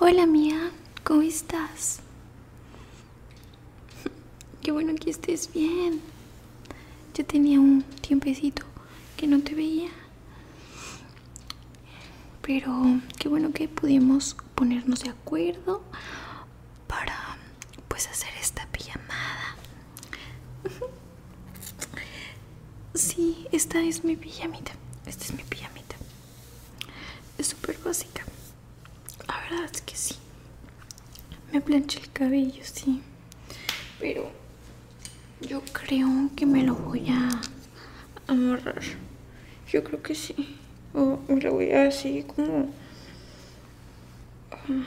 Hola mía, ¿cómo estás? Qué bueno que estés bien. Yo tenía un tiempecito que no te veía. Pero qué bueno que pudimos ponernos de acuerdo para pues hacer esta pijamada Sí, esta es mi pijamita Esta es mi pijamita Es súper básica La verdad es que sí Me planché el cabello, sí Pero yo creo que me lo voy a amarrar Yo creo que sí O me lo voy a así como Mm.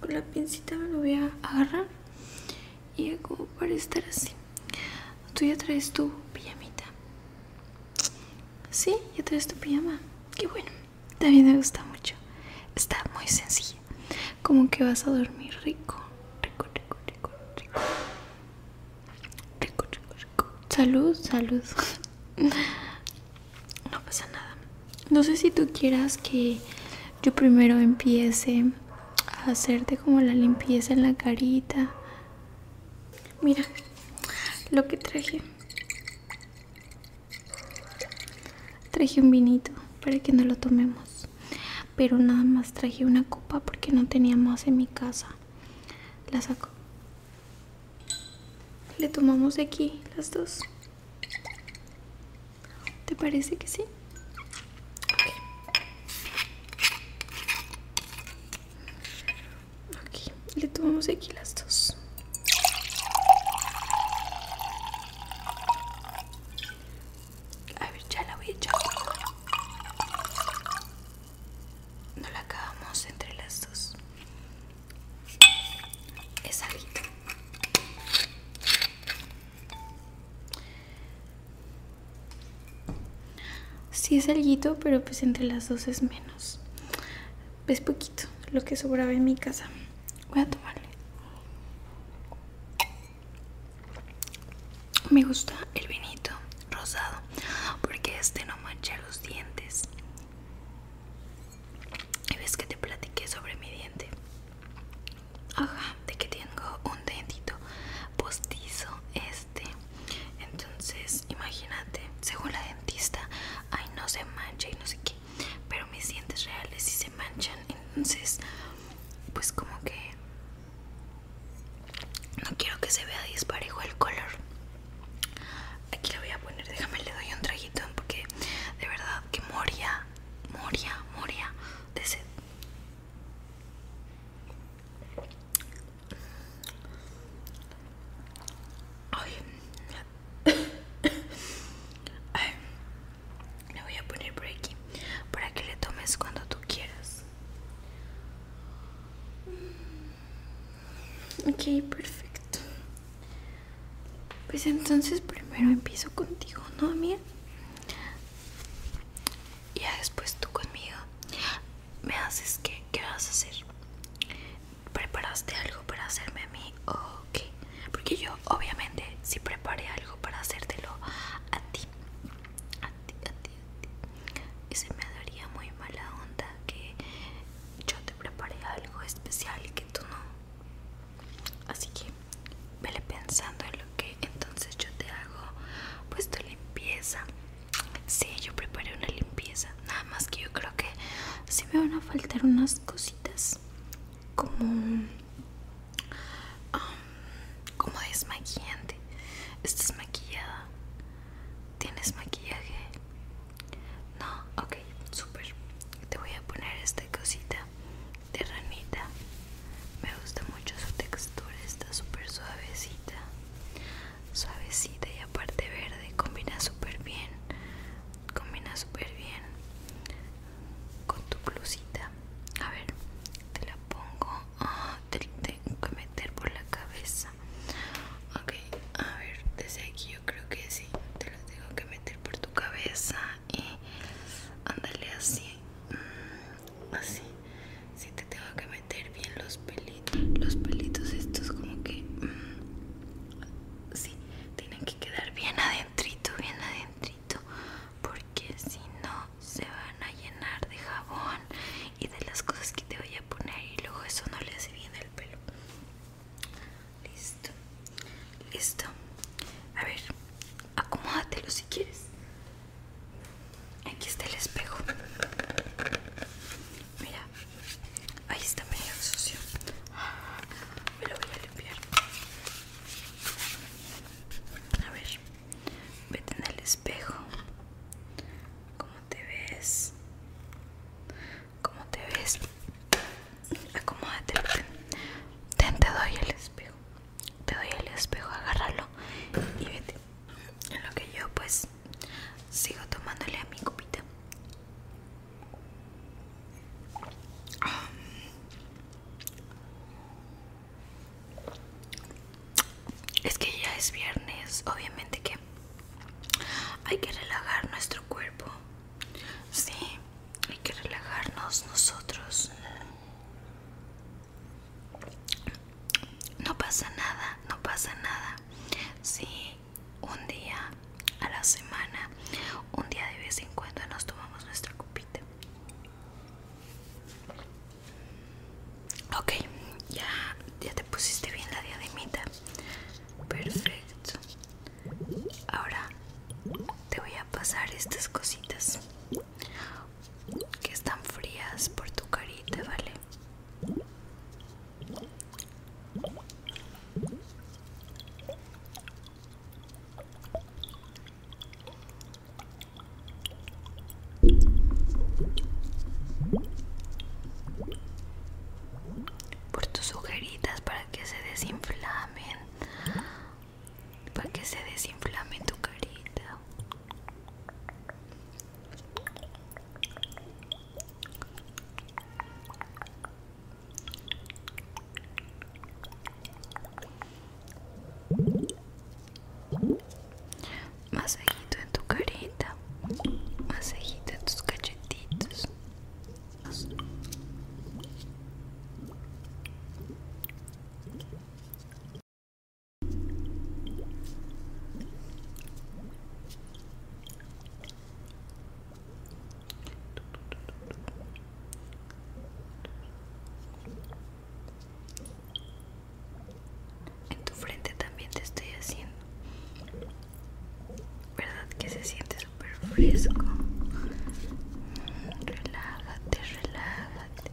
Con la pincita me lo voy a agarrar y hago para estar así. Tú ya traes tu pijamita. Sí, ya traes tu pijama. Qué bueno. También me gusta mucho. Está muy sencilla. Como que vas a dormir rico. Rico, rico, rico, rico. Rico, rico, rico. Salud, salud. no pasa nada. No sé si tú quieras que yo primero empiece a hacerte como la limpieza en la carita. Mira lo que traje. Traje un vinito para que no lo tomemos. Pero nada más traje una copa porque no tenía más en mi casa. La saco. Le tomamos aquí las dos. ¿Te parece que sí? le tomamos aquí las dos. A ver, ya la voy a echar. No la acabamos entre las dos es algo si es alguito, pero pues entre las dos es menos. Es poquito lo que sobraba en mi casa. Voy a tomarle. Me gusta el vinito rosado porque este no mancha los dientes y ves que te platiqué sobre mi diente ajá de que tengo un dentito postizo este entonces imagínate según la dentista ay no se mancha y no sé qué pero mis dientes reales si se manchan entonces pues como que no quiero que se vea disparejo el color Aquí lo voy a poner, déjame le doy un traguito porque de verdad que moría, moría, moría de sed. Ay. Le voy a poner por aquí para que le tomes cuando tú quieras. Mm. Ok, perfecto. Pues entonces primero empiezo contigo, ¿no, mía? Y ya después tú conmigo. Me haces que qué vas a hacer. ¿Preparaste algo para hacerme a mí? Ok. Porque yo obviamente si preparé algo para hacértelo a ti. A ti, a ti, a ti. Y se me daría muy mala onda que yo te preparé algo especial que tú no. Así que vele pensando en lo que entonces yo te hago, pues tu limpieza. Sí, yo preparé una limpieza. Nada más que yo creo que si me van a faltar unas cositas como como desmaquillante. Estás maquillada. Tienes maquillaje. No, ok, super. Te voy a poner esta cosita de ranita. Me gusta mucho su textura, está súper suavecita. Suavecita y aparte verde, combina súper bien. Combina súper bien con tu blusita. A ver, te la pongo. Ah, te tengo que meter por la cabeza. Okay, ok a ver desde aquí yo creo que sí te los tengo que meter por tu cabeza y ándale así mm, así si sí, te tengo que meter bien los pelitos los pelitos estos como que mm, sí tienen que quedar bien adentrito bien adentrito porque si no se van a llenar de jabón y de las cosas que te voy a poner y luego eso no le hace bien el pelo listo listo a ver acomódatelo si quieres aquí está el espejo mira ahí está medio sucio me lo voy a limpiar a ver vete en el espejo te ves? ¿Cómo te ves? Acomódate. Ten, te doy el espejo. Te doy el espejo, agárralo y vete. En lo que yo pues sigo tomándole a mi copita. Es que ya es viernes, obviamente que hay que relajar nuestro cuerpo. Sí, hay que relajarnos nosotros. No pasa nada, no pasa nada. si un día a la semana, un día de vez en cuando nos tomamos nuestra copita. Ok, ya, te pusiste bien la diademita. Perfecto. Ahora te voy a pasar estas cositas que están frías por tu carita, ¿vale? por tus ojeritas para que se desinflamen para que se desinflame tu carita Masejito en tu carita, Masejito en tus cachetitos. En tu frente también te estoy haciendo. ¿Verdad que se siente súper fresco? Relájate, relájate.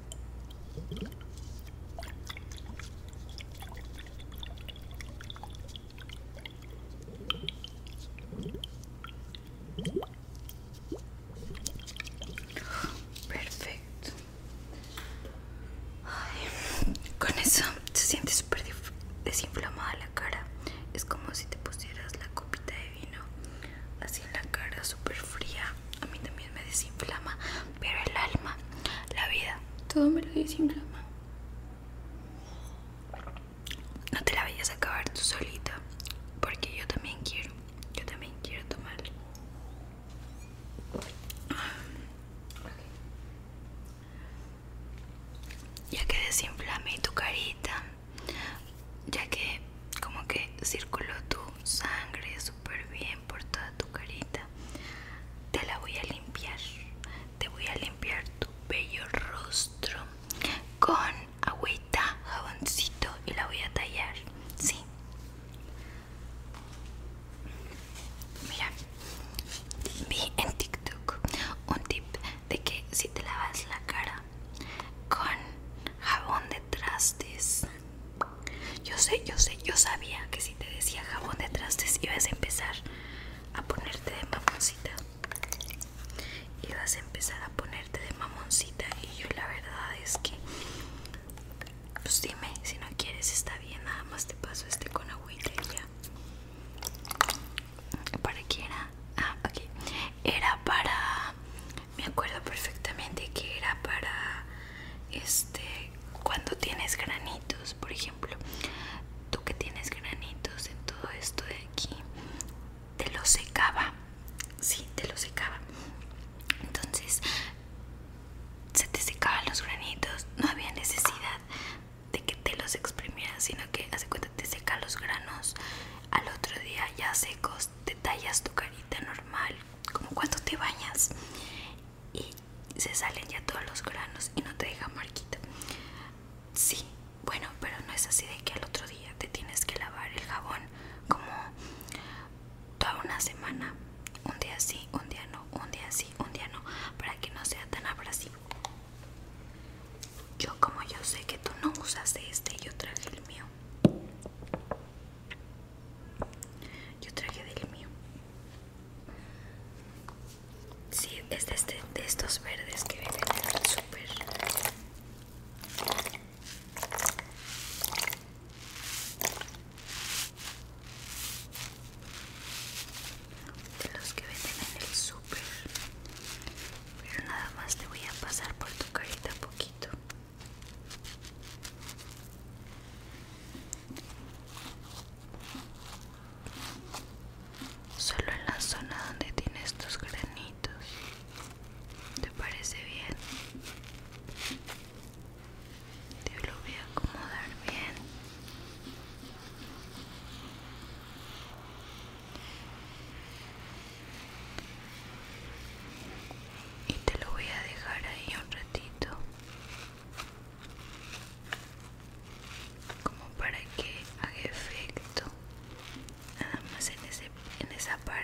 Perfecto. con eso se siente súper desinflamada la cara. Es como si te pusieras la copita de vino así en la cara, súper fría. A mí también me desinflama, pero el alma, la vida, todo me lo desinflama. No te la vayas a acabar tú solita, porque yo también quiero, yo también quiero tomar. Ya que desinflame tu carita, ya que como que circuló tu sangre, super bien por toda tu carita. Te la voy a limpiar. Te voy a limpiar tu bello rostro con agüita, jaboncito y la voy a tallar. Sí. Mira, vi en TikTok un tip de que si te lavas la cara con jabón de trastes yo sé, yo sé, yo sabía que si te decía jabón de trastes ibas a empezar a ponerte de mamoncita. Ibas a empezar a ponerte de mamoncita y yo la verdad es que... Pues dime, si no quieres está bien, nada más te paso este con agüita y ya. ¿Para qué era? Ah, ok. Era para... Me acuerdo perfectamente que era para... Este cuando tienes granitos, por ejemplo, tú que tienes granitos en todo esto de aquí, te los secaba, sí, te los secaba. Entonces, se te secaban los granitos, no había necesidad de que te los exprimieras, sino que hace cuenta te seca los granos. Al otro día ya secos, te tallas tu carita normal, como cuando te bañas y se salen ya todos los granos y no te deja marquita. Sí, bueno, pero no es así de que al otro día te tienes que lavar el jabón como toda una semana, un día sí, un día no, un día sí, un día no, para que no sea tan abrasivo. Yo como yo sé que tú no usas este, yo traje el mío. Yo traje del mío. Sí, es de, este, de estos verdes que venden en el super De los que venden en el super Pero nada más te voy a pasar por tu carita poquito. Solo en la zona donde tiene estos granitos. ¿Te parece bien? Te lo voy a acomodar bien. Y te lo voy a dejar ahí un ratito como para que haga efecto nada más en, en esa parte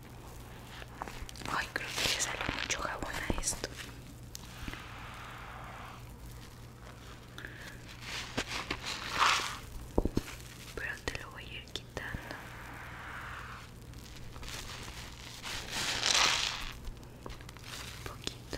Ay, creo que le sale mucho jabón a esto. Pero te lo voy a ir quitando. Un poquito.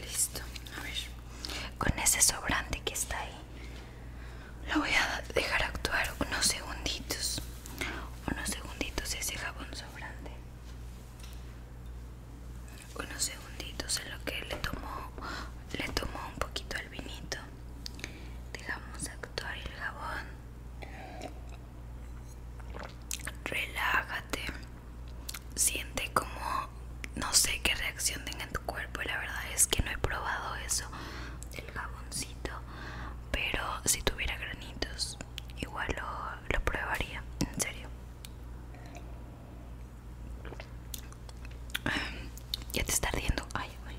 Listo, a ver. Con ese sobrante que está ahí, lo voy a dejar actuar unos segunditos. Unos segunditos ese jabón sobrante. Unos segunditos en lo que le tomó, le tomó un poquito al vinito. Dejamos actuar el jabón. Relájate siente como no sé qué reacción tenga en tu cuerpo la verdad es que no he probado eso del jaboncito pero si tuviera granitos igual lo, lo probaría en serio ya te está ardiendo ay, ay.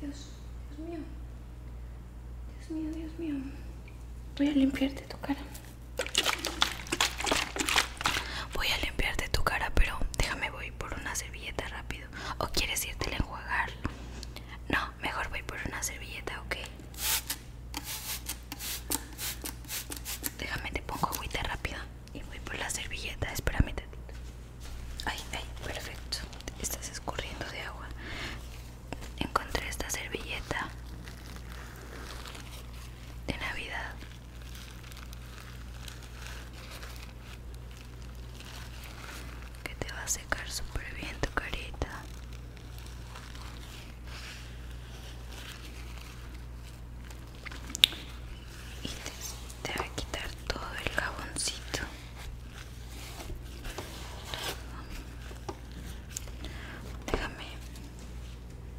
Dios, Dios mío Dios mío Dios mío voy a limpiarte tu cara Voy a limpiarte tu cara, pero déjame voy por una servilleta rápido. ¿O quieres irte a enjuagarlo No, mejor voy por una servilleta, ¿ok? Déjame te pongo agüita rápida y voy por la servilleta. Espérame Ay, ay, perfecto. Estás escurriendo de agua. Encontré esta servilleta de Navidad que te va a secar súper bien tu carita y te, va a quitar todo el jaboncito déjame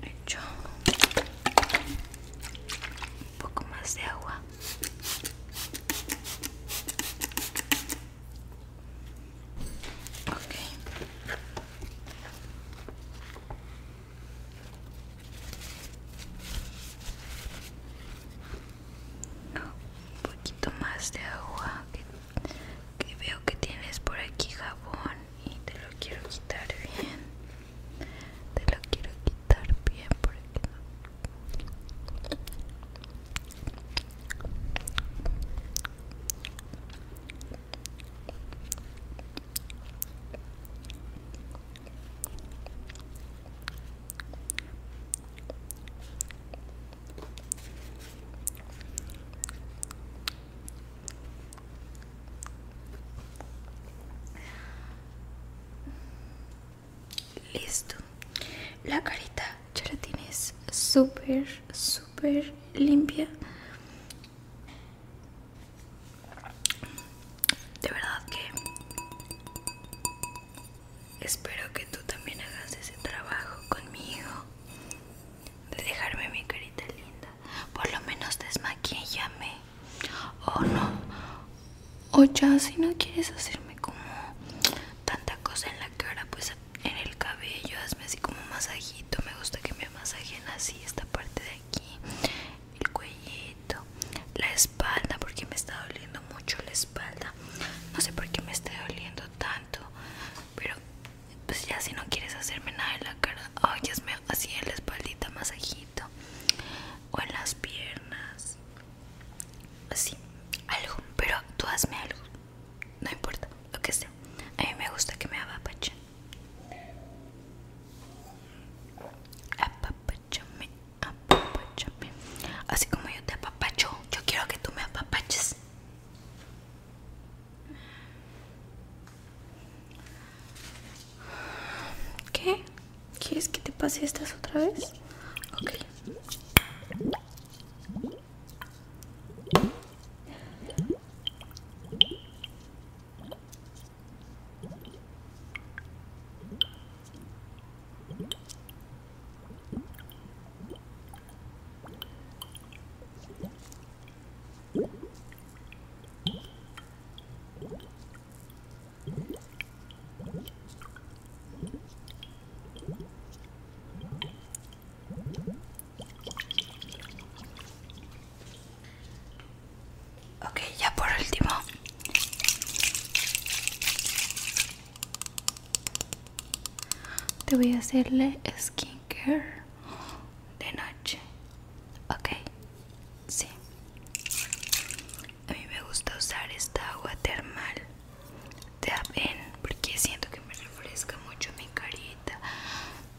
hecho un poco más de agua un poquito más de agua que, que veo que tienes por aquí jabón y te lo quiero quitar bien te lo quiero quitar bien porque Listo. La carita ya la tienes súper, súper limpia. De verdad que espero que tú también hagas ese trabajo conmigo de dejarme mi carita linda. Por lo menos desmaquillame O no. O ya, si no quieres hacerme como tanta cosa en la cara, pues en el cabello, hazme así como masajito. Me gusta que me masajen así esta parte de aquí, el cuellito, la espalda, porque me está doliendo mucho la espalda. No sé por qué me está doliendo tanto, pero pues ya si no quieres hacerme nada en la cara, me así en la espaldita, masajito, o en las piernas, así, algo, pero tú hazme algo, no importa, lo que sea, a mí me gusta que me apapache apapachame, apapachame, así como yo te apapacho, yo quiero que tú me apapaches. ¿Qué? ¿Quieres que te pase estas otra vez? Ok. Okay, ya por último. Te voy a hacerle skincare de noche. Ok, sí. A mí me gusta usar esta agua termal de Aven porque siento que me refresca mucho mi carita.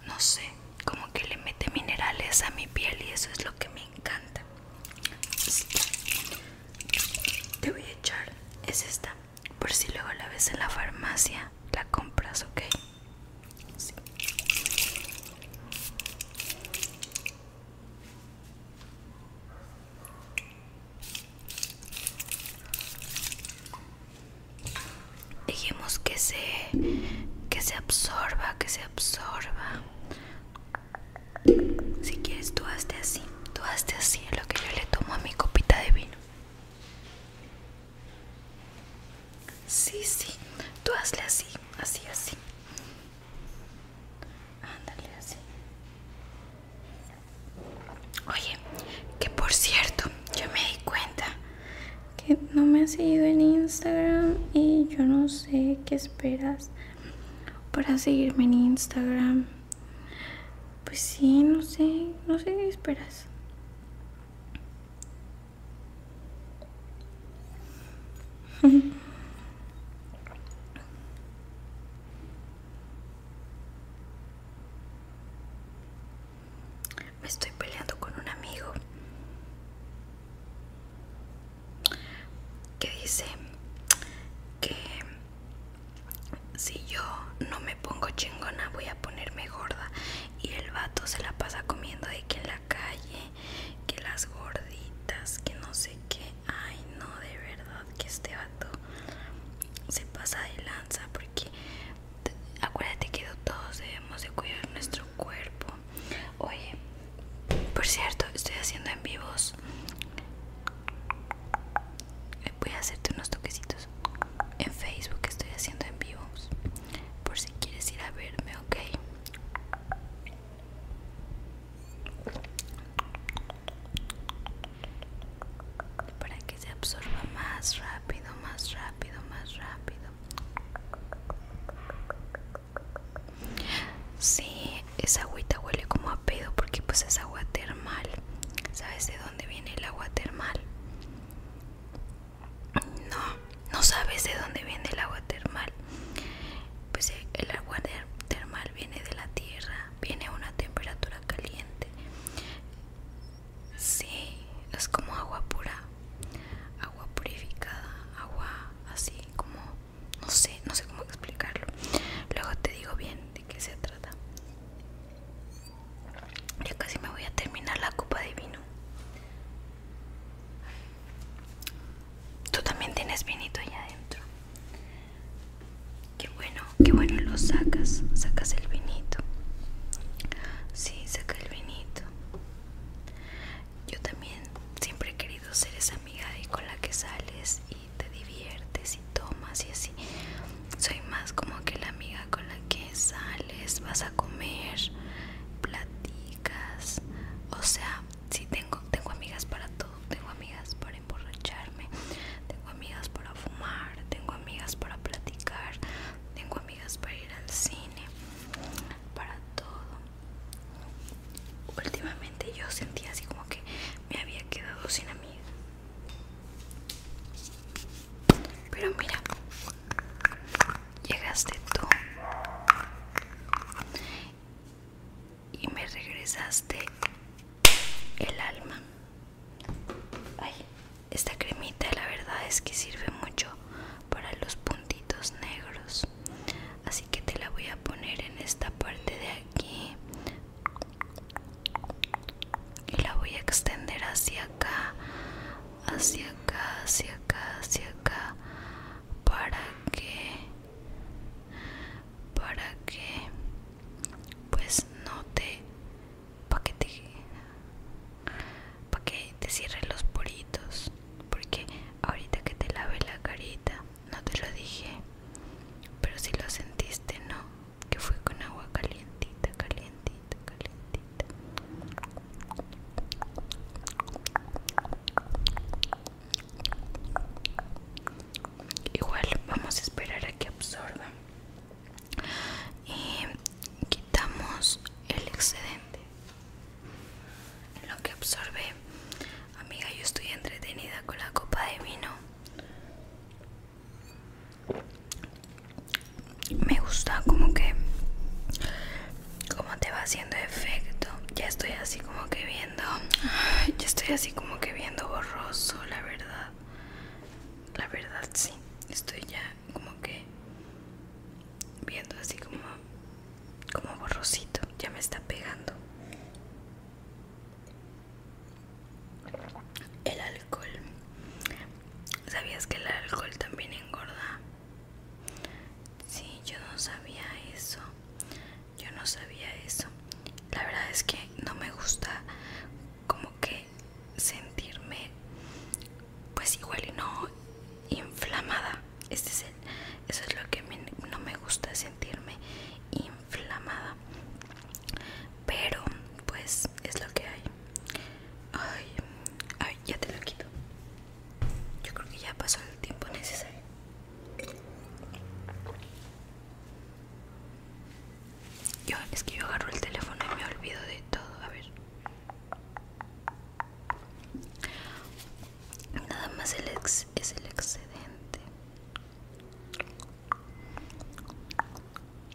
No sé, como que le mete minerales a mi piel y eso es lo que me encanta. Te voy a echar, es esta, por si luego la ves en la farmacia, la compras, ok. Dijimos que se que se absorba, que se absorba. Si quieres tú hazte así, tú hazte así, lo que yo le tomo a mi copita de vino. Sí, sí, tú hazle así, así, así. Ándale así. Oye, que por cierto, yo me di cuenta que no me has seguido en Instagram y yo no sé qué esperas para seguirme en Instagram. Pues sí, no sé, no sé qué esperas. Me estoy peleando con un amigo que dice que si yo no me pongo chingona voy a ponerme gorda y el vato se la pasa comiendo de que en la calle, que las gorditas, que no sé qué. Ay, no, de verdad que este vato se pasa de lanza porque acuérdate que todos debemos de cuidar nuestro cuerpo. Oye, por cierto, estoy haciendo en vivos. Voy a hacerte unos toquecitos en Facebook estoy haciendo en vivos por si quieres ir a verme ok para que se absorba más rápido más rápido más rápido Sí, esa agüita huele como a pedo porque pues es agua termal. ¿Sabes de dónde viene el agua termal? no, no sabes de dónde viene el agua termal. Pues eh, el agua termal viene de la tierra, viene a una temperatura caliente. Sí, es como agua pura, agua purificada, agua así como, no sé, no sé cómo explicarlo. Luego te digo bien de qué se trata. Ya casi me voy a terminar la copa de vino. Tú también tienes vinito allá adentro. Qué bueno, qué bueno lo sacas. Sacas el vinito. Sí, saca el vinito. Yo también siempre he querido ser esa amiga de con la que sales y te diviertes y tomas y así. Soy más como que la amiga con la que sales, vas a comer, platicas, o sea, si tengo, tengo amigas para todo, tengo amigas para emborracharme, tengo amigas para fumar, tengo amigas para platicar, tengo amigas para ir al cine, para todo. Últimamente yo sentía así como que me había quedado sin amigas. Pero mira, llegaste tú y me regresaste el alma. Ay, esta cremita la verdad es que sirve mucho para los puntitos negros. Así que te la voy a poner en esta parte de aquí y la voy a extender hacia acá hacia acá hacia acá hacia acá para que para que pues no te para que te para te cierre los poritos porque ahorita que te lave la carita no te lo dije pero si lo sentiste no que fue con agua calientita calientita Igual vamos a esperar a que absorba y quitamos el excedente. lo que absorbe, amiga, yo estoy entretenida con la copa de vino me gusta como que como te va haciendo efecto ya estoy así como que viendo ya estoy así como que viendo borroso la verdad la verdad sí estoy ya como que viendo así como como borrosito ya me está pegando el alcohol ¿Sabías que el alcohol también engorda? Sí, yo no sabía eso. Yo no sabía eso. La verdad es que no me gusta como que sentirme pues igual y no inflamada. Este es eso es lo que no me gusta sentirme inflamada. Pero pues es lo que hay. Ay, ay, ya te lo quito. Yo creo que ya pasó el tiempo necesario. es que yo agarro el teléfono y me olvido de todo. A ver. Nada más el ex es el excedente.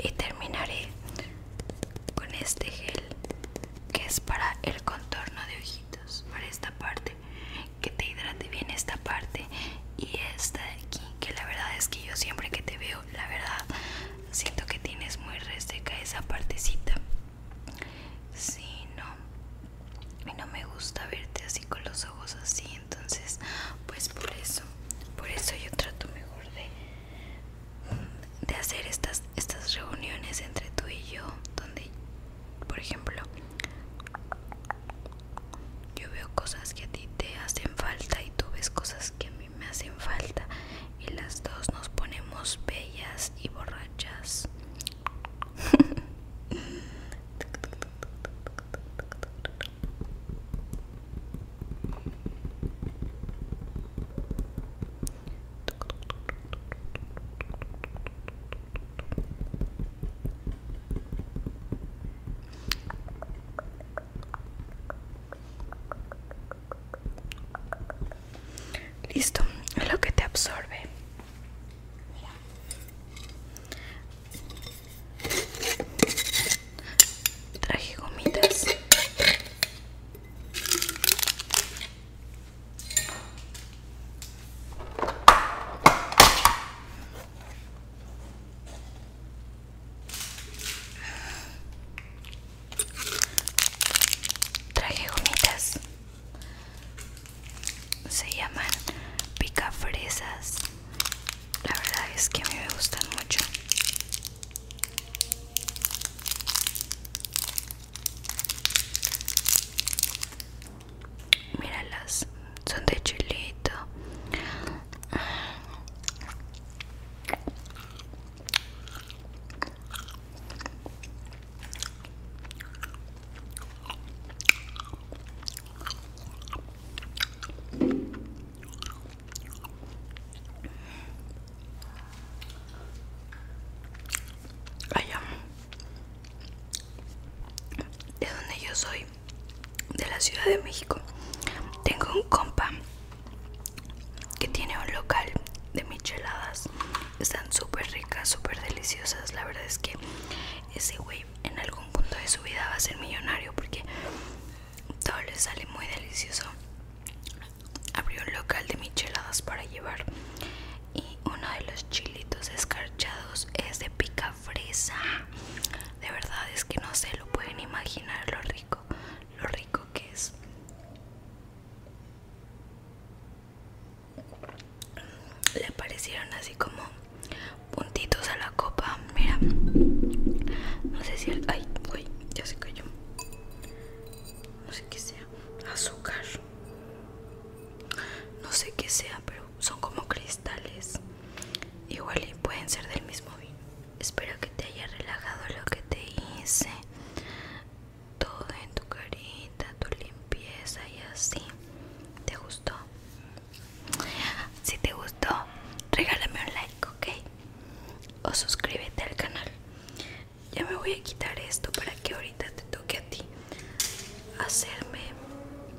Y terminaré con este gel que es para el contorno de ojitos, para esta parte, que te hidrate bien esta parte y esta de aquí que la verdad es que yo siempre que te veo, la verdad, siento que tienes muy reseca esa partecita. si no. Y no me gusta verte así con los ojos así, entonces, pues por eso, por eso yo trato mejor de, de hacer estas, estas reuniones entre tú y yo, donde, por ejemplo, yo veo cosas que a ti te hacen falta y tú ves cosas que a mí me hacen falta y las dos nos ponemos bellas y borrachas. Listo, es lo que te absorbe. Traje gomitas. Traje gomitas. Se llaman pica fresas. La verdad es que a me gustan mucho míralas son de chilito Allá de donde yo soy de la Ciudad de México. Tengo un compa que tiene un local de micheladas. Están súper ricas, súper deliciosas. La verdad es que ese güey en algún punto de su vida va a ser millonario porque todo le sale muy delicioso. Abrió un local de micheladas para llevar y uno de los chilitos escarchados es de pica fresa. De verdad es que no se lo pueden imaginar lo rico, lo rico que es. Le aparecieron así como puntitos a la copa. Mira, no sé si Ay, uy, ya se cayó. No sé qué sea. Azúcar. No sé qué sea, pero son como cristales igual y pueden ser del mismo vino espero que te haya relajado lo que te hice todo en tu carita tu limpieza y así te gustó si te gustó regálame un like ok o suscríbete al canal ya me voy a quitar esto para que ahorita te toque a ti hacerme